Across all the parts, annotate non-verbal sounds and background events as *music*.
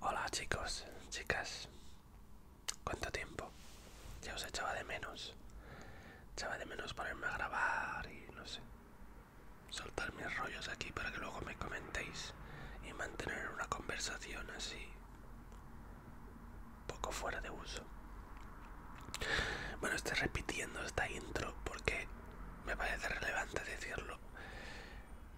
Hola chicos, chicas, ¿cuánto tiempo? Ya os echaba de menos, echaba de menos ponerme a grabar y no sé, soltar mis rollos aquí para que luego me comentéis y mantener una conversación así, poco fuera de uso. Bueno, estoy repitiendo esta intro porque me parece relevante decirlo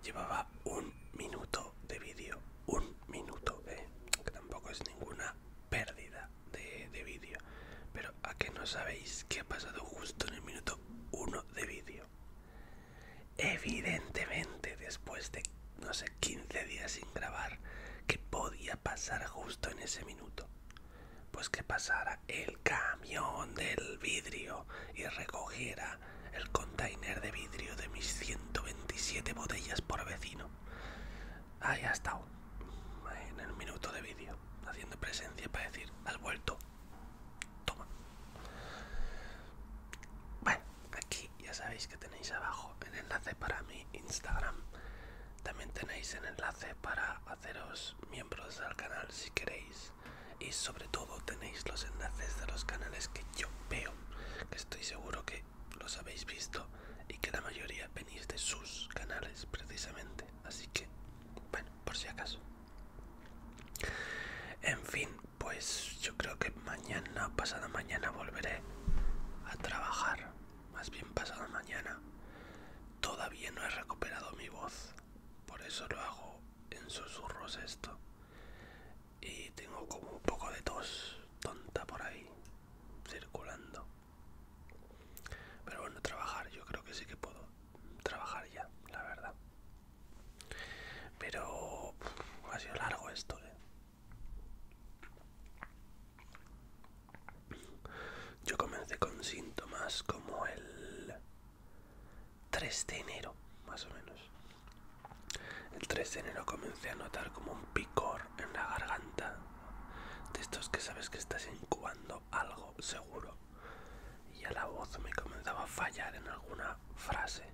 llevaba un minuto de vídeo, un minuto, eh, que tampoco es ninguna pérdida de, vídeo. Pero a que no sabéis qué ha pasado justo en el minuto Uno de vídeo. Evidentemente, después de, no sé, 15 días sin grabar, Que podía pasar justo en ese minuto? Pues que pasara el camión del vidrio y recogiera el container de vidrio de mis 127 botellas por vecino. Ahí ha estado, en el minuto de vídeo, haciendo presencia para decir, has vuelto, toma. Bueno, aquí ya sabéis que tenéis abajo el enlace para mi Instagram. También tenéis el enlace para haceros miembros del canal si queréis y sobre todo tenéis los enlaces de los canales que yo veo, que estoy seguro que los habéis visto y que la mayoría venís de sus canales precisamente, así que bueno, por si acaso. En fin, pues yo creo que mañana, pasada mañana volveré a trabajar, más bien pasado mañana. Todavía no he recuperado mi voz, por eso lo hago en susurros esto. Y tengo como un poco de tos tonta por ahí circulando. Pero bueno, trabajar, yo creo que sí que puedo trabajar ya, la verdad. Pero ha sido largo esto, ¿eh? Yo comencé con síntomas como el 3 de enero, más o menos. El 3 de enero comencé a notar como un picor en la garganta. De estos que sabes que estás incubando algo seguro. Y ya la voz me comenzaba a fallar en alguna frase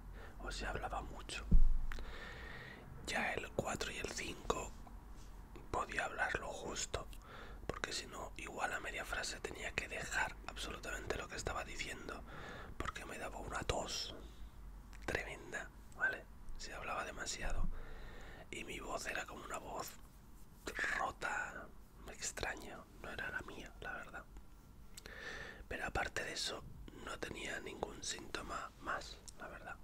o se hablaba mucho. Ya el 4 y el 5 podía hablar lo justo porque si no, igual a media frase tenía que dejar absolutamente lo que estaba diciendo, porque me daba una tos tremenda, ¿vale? Se hablaba demasiado y mi voz era como una voz rota, extraña, no era la mía, la verdad. Pero aparte de eso, no tenía ningún síntoma más, la verdad.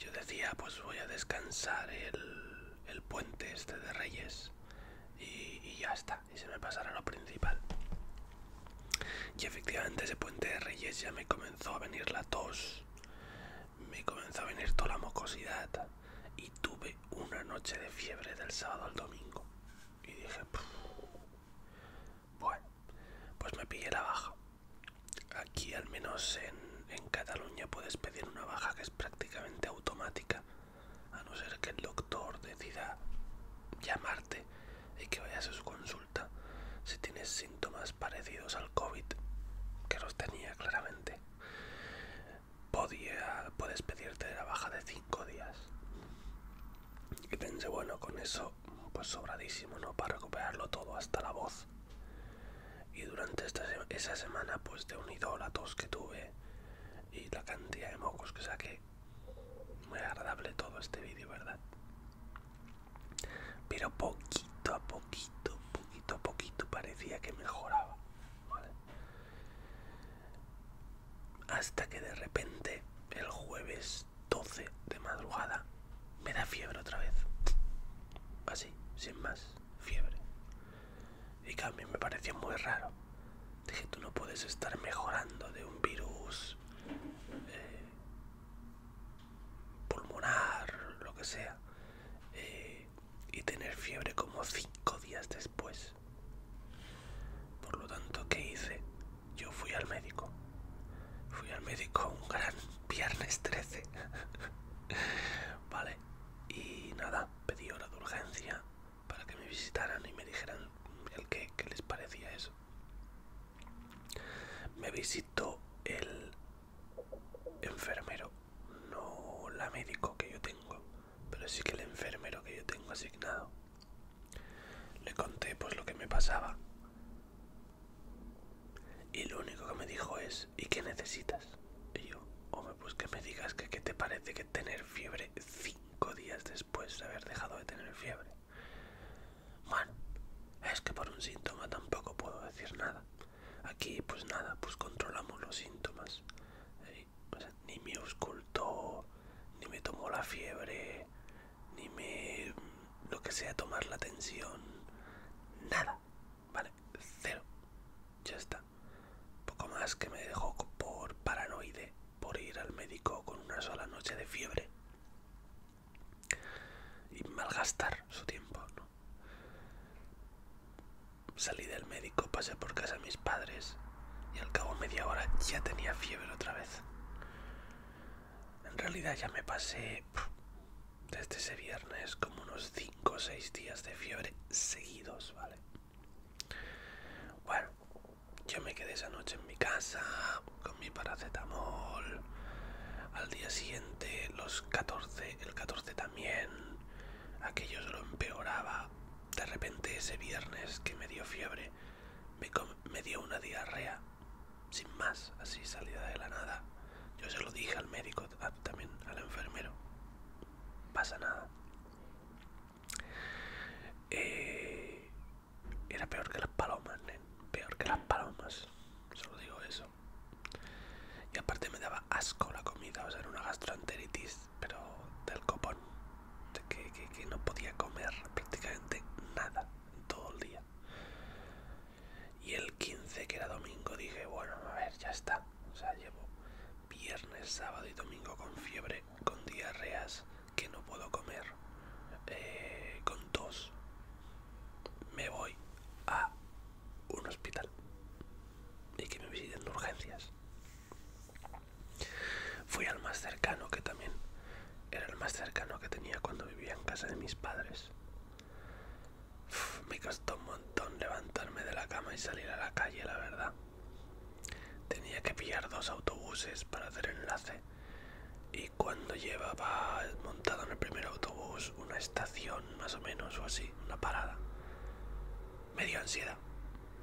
Yo decía, pues voy a descansar el el puente este de Reyes y, ya está, y se me pasará lo principal. Y efectivamente ese puente de Reyes ya me comenzó a venir la tos, me comenzó a venir toda la mocosidad y tuve una noche de fiebre del sábado al domingo. Y dije, bueno, pues me pillé la baja. Aquí al menos en Cataluña puedes pedir una baja que es prácticamente automática a no ser que el doctor decida llamarte y que vayas a su consulta si tienes síntomas parecidos al COVID, que los tenía claramente. Podía, puedes pedirte la baja de 5 días. Y pensé, bueno, con eso, pues sobradísimo, ¿no? Para recuperarlo todo, hasta la voz y durante esa semana pues de unido la tos que tuve y la cantidad de mocos que saqué muy agradable todo este vídeo verdad pero poquito a poquito poquito a poquito parecía que mejoraba hasta que de repente el jueves 12 de madrugada me da fiebre otra vez así sin más fiebre y que a mí me pareció muy raro. Dije, tú no puedes estar mejorando de un virus eh, pulmonar, lo que sea, eh, y tener fiebre como cinco días después. Por lo tanto, ¿qué hice? Yo fui al médico. Fui al médico un gran viernes 13. *laughs* vale. Y nada, pedí hora de urgencia para que me visitaran y me dijeran el qué, qué les parecía eso. Me visitó el enfermero, no la médico que yo tengo, pero sí que el enfermero que yo tengo asignado. Le conté pues lo que me pasaba. Y lo único que me dijo es, ¿y qué necesitas? Y yo, hombre, pues que me digas que qué te parece que tener fiebre cinco días después de haber dejado de tener fiebre. Bueno, es que por un síntoma tampoco puedo decir nada. Aquí, pues nada, pues controlamos los síntomas. ni me auscultó, ni me tomó la fiebre, ni me. lo que sea, tomar la tensión. Nada, Vale, cero. Ya está. Poco más que me dejó por paranoide, por ir al médico con una sola noche de fiebre. Y malgastar su tiempo, ¿no? Salí del médico, pasé por casa a mis padres y al cabo media hora ya tenía fiebre otra vez. En realidad ya me pasé desde ese viernes como unos 5 o 6 días de fiebre seguidos, ¿vale? Bueno, yo me quedé esa noche en mi casa con mi paracetamol. Al día siguiente, los 14, el 14 también, aquello se lo empeoraba. De repente ese viernes que me dio fiebre, me, me dio una diarrea, sin más, así salida de la nada. Yo se lo dije al médico también al enfermero pasa nada eh, era peor que las palomas peor que las palomas solo digo eso y aparte me daba asco la comida o sea era una gastroenteritis pero del copón de que no podía comer prácticamente nada todo el día y el 15, que era domingo, dije, bueno, a ver, ya está. O sea, llevo viernes, sábado y domingo con fiebre, con diarreas, que no puedo comer, eh, con tos. Me voy a un hospital y que me visiten urgencias. Fui al más cercano que también era el más cercano que tenía cuando vivía en casa de mis padres me costó un montón levantarme de la cama y salir a la calle, la verdad. Tenía que pillar dos autobuses para hacer enlace. Y cuando llevaba montado en el primer autobús una estación más o menos o así, una parada, me dio ansiedad.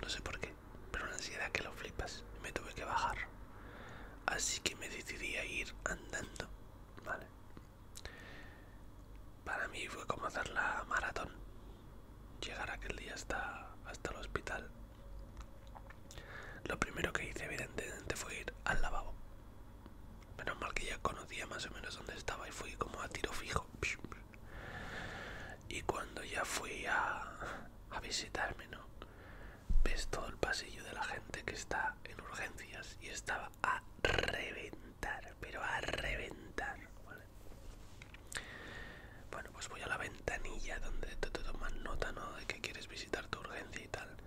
No sé por qué, pero una ansiedad que lo flipas. Me tuve que bajar. Así que me decidí a ir andando. Vale, para mí fue como hacer la maratón, llegar aquel día hasta, hasta el hospital. Lo primero que hice evidentemente fue ir al lavabo. Menos mal que ya conocía más o menos dónde estaba y fui como a tiro fijo. Y cuando ya fui a, a visitarme, ¿no? Ves todo el pasillo de la gente que está en urgencias y estaba a reventar, pero a reventar. Bueno, pues voy a la ventanilla donde te, te tomas nota, ¿no? De que quieres visitar tu urgencia y tal.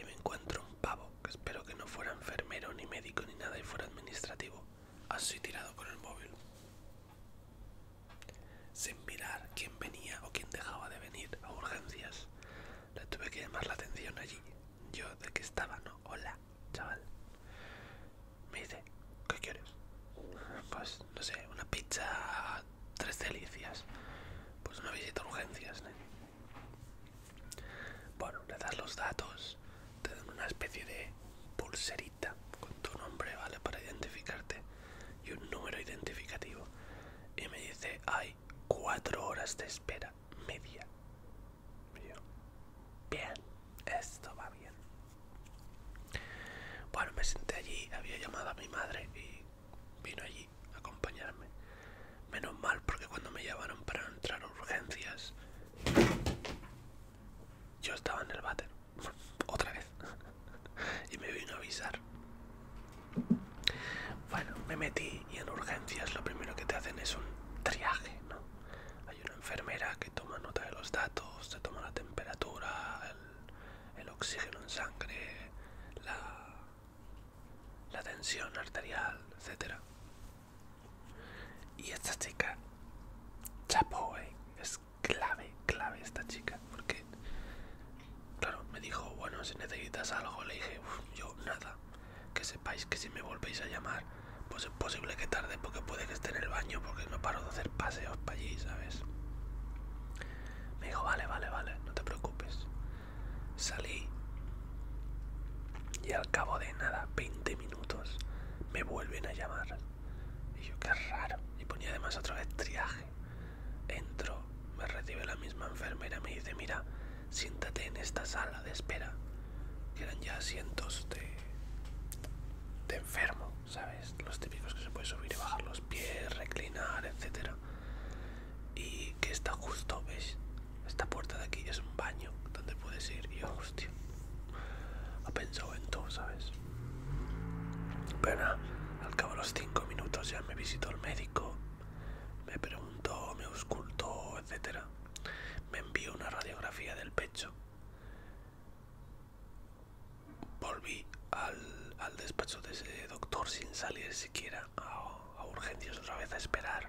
Y me encuentro un pavo, que espero que no fuera enfermero, ni médico, ni nada, y fuera administrativo. Así tirado con el móvil. Sin mirar quién venía o quién dejaba de venir a urgencias. Le tuve que llamar la atención allí yo de que estaba, ¿no? Hola, chaval. Me dice, ¿qué quieres? Pues, no sé, una pizza, tres delicias. Pues una visita urgencias, Bueno, le das los datos, te dan una especie de pulserita con tu nombre, ¿vale? Para identificarte y un número identificativo. Y me dice, hay cuatro horas de espera media, Bien, esto va bien. Bueno, me senté allí, había llamado a mi madre y vino allí a acompañarme. Menos mal porque cuando me llamaron para entrar a urgencias, yo estaba en el váter, *laughs* otra vez, *laughs* y me vino a avisar. Bueno, me metí y en urgencias lo primero que te hacen es un triaje, ¿no? Hay una enfermera que toma nota de los datos, se toma la temperatura, el, oxígeno en sangre, la, tensión arterial, etc. Y esta chica, chapo, ¿eh? es clave, clave esta chica, porque Claro, me dijo, bueno, si necesitas algo, le dije, yo nada. Que sepáis que si me volvéis a llamar, pues es posible que tarde porque puede que esté en el baño porque no paro de hacer paseos para allí, ¿sabes? Me dijo, vale, vale, vale, no te preocupes. Salí y al cabo de nada, 20 minutos, me vuelven a llamar. Y yo, qué raro. Y ponía además otra vez triaje. Entro, me recibe la misma enfermera, me dice, mira, siéntate en esta sala de espera, que eran ya asientos de, de enfermo, ¿sabes? Los típicos que se puede subir y bajar los pies, reclinar, etcétera Y que está justo, ¿ves? Esta puerta de aquí es un baño donde puedes ir. Y yo, hostia, ha pensado en todo, ¿sabes? Pero al cabo de los cinco minutos ya me visitó el médico, me preguntó, me auscultó, etcétera. Me envió una radiografía del pecho. Volví al, despacho de ese doctor sin salir siquiera a, a urgencias otra vez a esperar.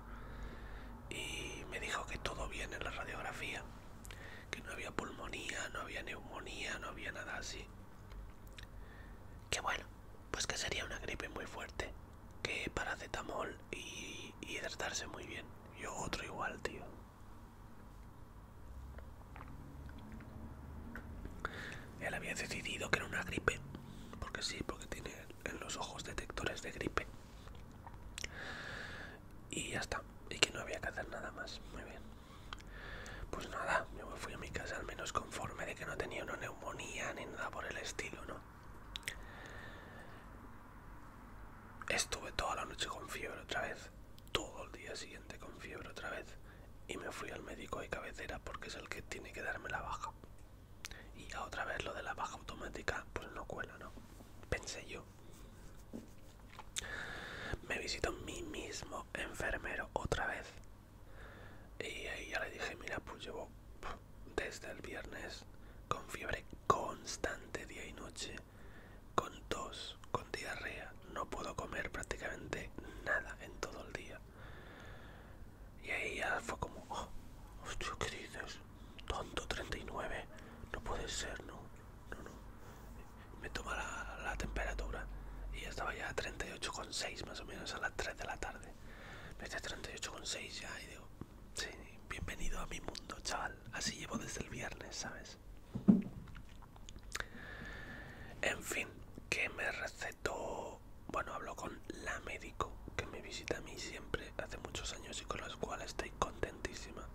Y me dijo que todo bien en la radiografía. Que no había pulmonía, no había neumonía, no había nada así que bueno, pues que sería una gripe muy fuerte, que paracetamol y, y hidratarse muy bien. Yo otro igual, tío. Él había decidido que era una gripe, porque sí, porque tiene en los ojos detectores de gripe. Y ya está, y que no había que hacer nada más. Muy bien pues nada, yo me fui a mi casa al menos conforme de que no tenía una neumonía ni nada por el estilo, ¿no? Estuve toda la noche con fiebre otra vez, todo el día siguiente con fiebre otra vez, y me fui al médico de cabecera porque es el que tiene que darme la baja. Y a otra vez lo de la baja automática, pues no cuela, ¿no? Pensé yo. Me visitó mi mismo enfermero otra vez y ahí ya le dije, mira, pues llevo desde el viernes con fiebre constante día y noche, con tos, con diarrea, no puedo comer prácticamente nada en todo el día. Y ahí ya fue como, oh, dices? Tonto, 39, no puede ser, no, no, no. Me toma la, temperatura y ya estaba ya a más menos a las 3 de la tarde. Me con 38,6 ya y digo, sí, bienvenido a mi mundo, chaval. Así llevo desde el viernes, ¿sabes? En fin, que me recetó, bueno, hablo con la médico que me visita a mí siempre hace muchos años y con la cual estoy contentísima.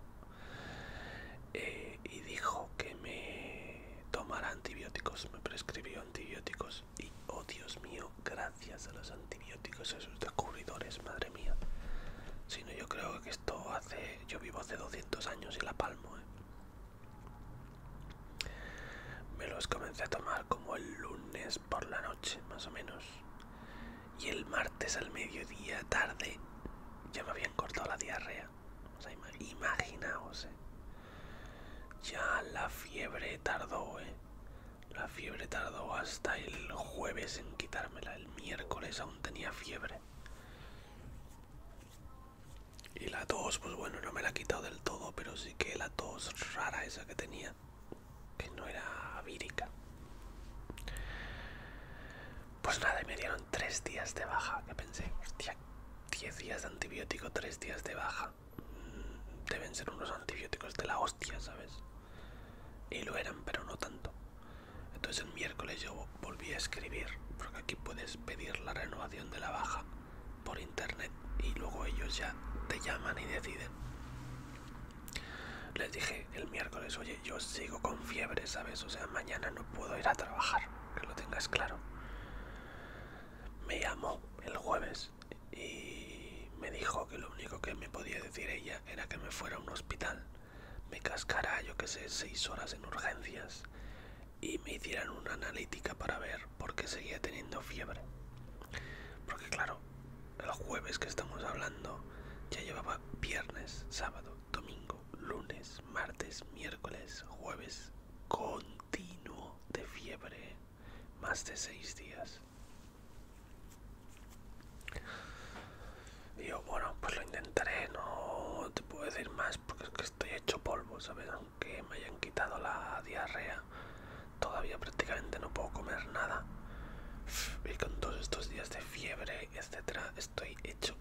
Eh, y dijo que me tomara antibióticos, me prescribió antibióticos y, oh Dios mío, gracias a los antibióticos a sus descubridores, madre mía. no, yo creo que esto hace... Yo vivo hace 200 años y la palmo, ¿eh? Me los comencé a tomar como el lunes por la noche, más o menos. Y el martes al mediodía tarde ya me habían cortado la diarrea imaginaos, eh. Ya la fiebre tardó, ¿eh? La fiebre tardó hasta el jueves en quitármela. El miércoles aún tenía fiebre. Y la tos, pues bueno, no me la ha quitado del todo, pero sí que la tos rara esa que tenía, que no era vírica. Pues nada, me dieron tres días de baja, que pensé, hostia. 10 días de antibiótico, 3 días de baja. Mm, deben ser unos antibióticos de la hostia, ¿sabes? Y lo eran, pero no tanto. Entonces el miércoles yo volví a escribir, porque aquí puedes pedir la renovación de la baja por internet y luego ellos ya te llaman y deciden. Les dije el miércoles, oye, yo sigo con fiebre, ¿sabes? O sea, mañana no puedo ir a trabajar que lo tengas claro. Me llamó el jueves y me dijo que lo único que me podía decir ella era que me fuera a un hospital, me cascara, yo que sé, seis horas en urgencias y me hicieran una analítica para ver por qué seguía teniendo fiebre. Porque claro, el jueves que estamos hablando ya llevaba viernes, sábado, domingo, lunes, martes, miércoles, jueves, continuo de fiebre más de seis días. Y yo, bueno, pues lo intentaré, no te puedo decir más porque es que estoy hecho polvo, ¿sabes? Aunque me hayan quitado la diarrea, todavía prácticamente no puedo comer nada. Y con todos estos días de fiebre, etcétera, estoy hecho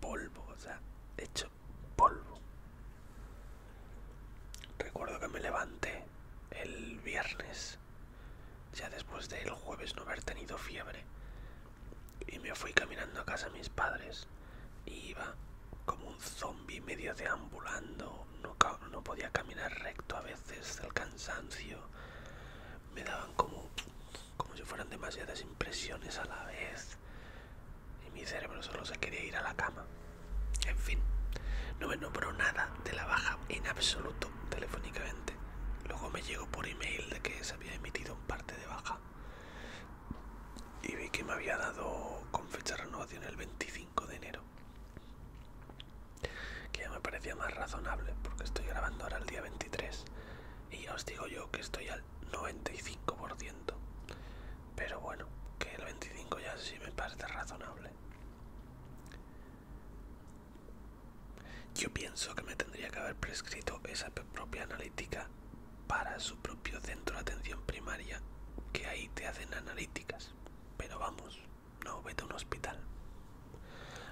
polvo, o sea, hecho polvo. Recuerdo que me levanté el viernes, ya después de el jueves no haber tenido fiebre, y me fui caminando a casa de mis padres. iba como un zombie medio deambulando, no, no podía caminar recto a veces del cansancio. Me daban como como si fueran demasiadas impresiones a la vez y mi cerebro solo se quería ir a la cama. En fin, no me nombró nada de la baja en absoluto telefónicamente. Luego me llegó por email de que se había emitido un parte de baja y vi que me había dado con fecha de renovación el 25 de enero. Que ya me parecía más razonable porque estoy grabando ahora el día 23 y ya os digo yo que estoy al 95%. Pero bueno, que el 25 ya sí me parece razonable. Yo pienso que me tendría que haber prescrito esa propia analítica para su propio centro de atención primaria, que ahí te hacen analíticas. Pero vamos, no vete a un hospital.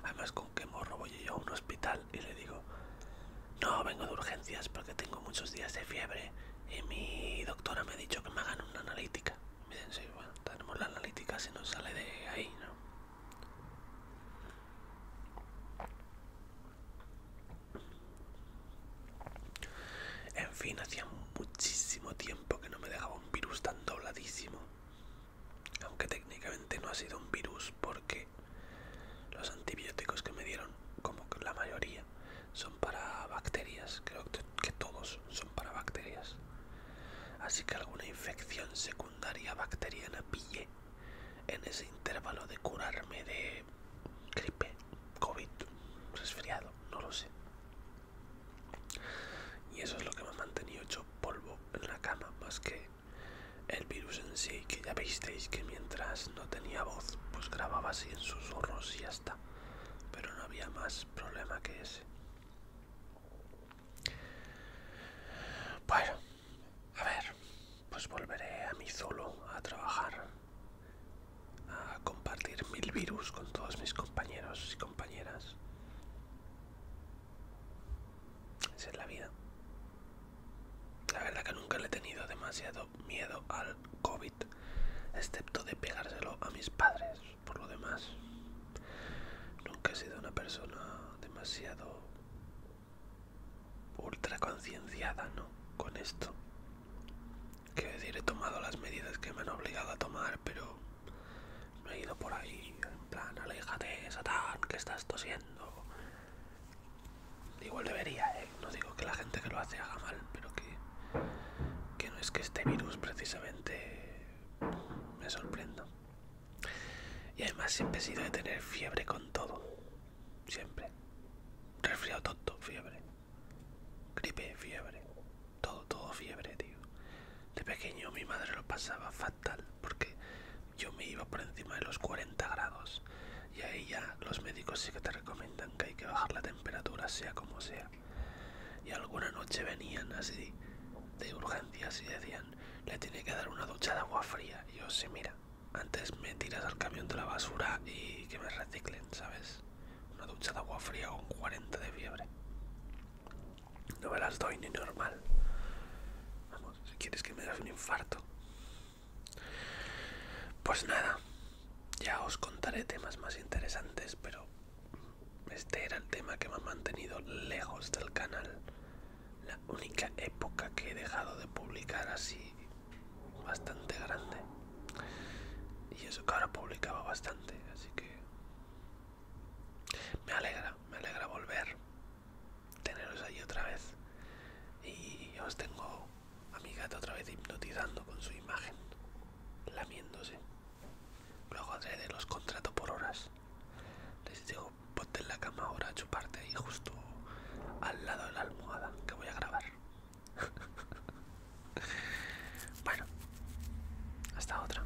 Además, ¿con qué morro voy yo a un hospital? y le digo, no, vengo de urgencias porque tengo muchos días de fiebre y mi doctora me ha dicho que me hagan una analítica. miren me dicen, sí, bueno, tenemos la analítica si no sale de ahí, ¿no? En fin, hacía muchísimo tiempo que no me dejaba un virus tan dobladísimo. Aunque técnicamente no ha sido un virus porque los antibióticos que me dieron, como la mayoría, son para bacterias, creo que todos son para bacterias. Así que alguna infección secundaria bacteriana pillé en ese intervalo de curarme de gripe, COVID, resfriado, no lo sé. Y eso es lo que me ha mantenido hecho polvo en la cama, más que el virus en sí, que ya visteis que mientras no tenía voz, pues grababa así en susurros y ya está. Pero no había más problema que ese. Bueno, a ver, pues volveré a mí solo a trabajar, a compartir mil virus con todos mis compañeros y compañeras. Esa es la vida. La verdad que nunca le he tenido demasiado miedo al COVID, excepto de pegárselo a mis padres. Por lo demás, nunca he sido una persona demasiado ultra concienciada, ¿no? Con esto. que decir, he tomado las medidas que me han obligado a tomar, pero no he ido por ahí, en plan, aléjate, Satán, que estás tosiendo, Igual debería, ¿eh? no digo que la gente que lo hace haga mal, pero que, no es que este virus precisamente me sorprenda. Y además siempre he sido de tener fiebre con todo. Siempre. Resfriado todo fiebre. Gripe, fiebre. Todo, todo fiebre, tío. De pequeño mi madre lo pasaba porque yo me iba por encima de los 40 grados y ahí ya los médicos sí que te recomiendan que hay que bajar la temperatura sea como sea. Y alguna noche venían así de urgencias y decían, le tiene que dar una ducha de agua fría. Y yo si mira, antes me tiras al camión de la basura y que me reciclen, ¿sabes? Una ducha de agua fría con 40 de fiebre. No me las doy ni normal. Vamos, si quieres que me das un infarto. Pues nada, ya os contaré temas más interesantes, pero este era el tema que me ha mantenido lejos del canal. La única época que he dejado de publicar así bastante grande. Y eso que ahora publicaba bastante, así que me alegra, me alegra volver, teneros allí otra vez. Y os tengo a mi gato otra vez hipnotizando con su imagen, lamiéndose. Luego haré de los contrato por horas. Les digo, ponte en la cama ahora a chuparte ahí justo al lado de la almohada que voy a grabar. *laughs* bueno, hasta otra.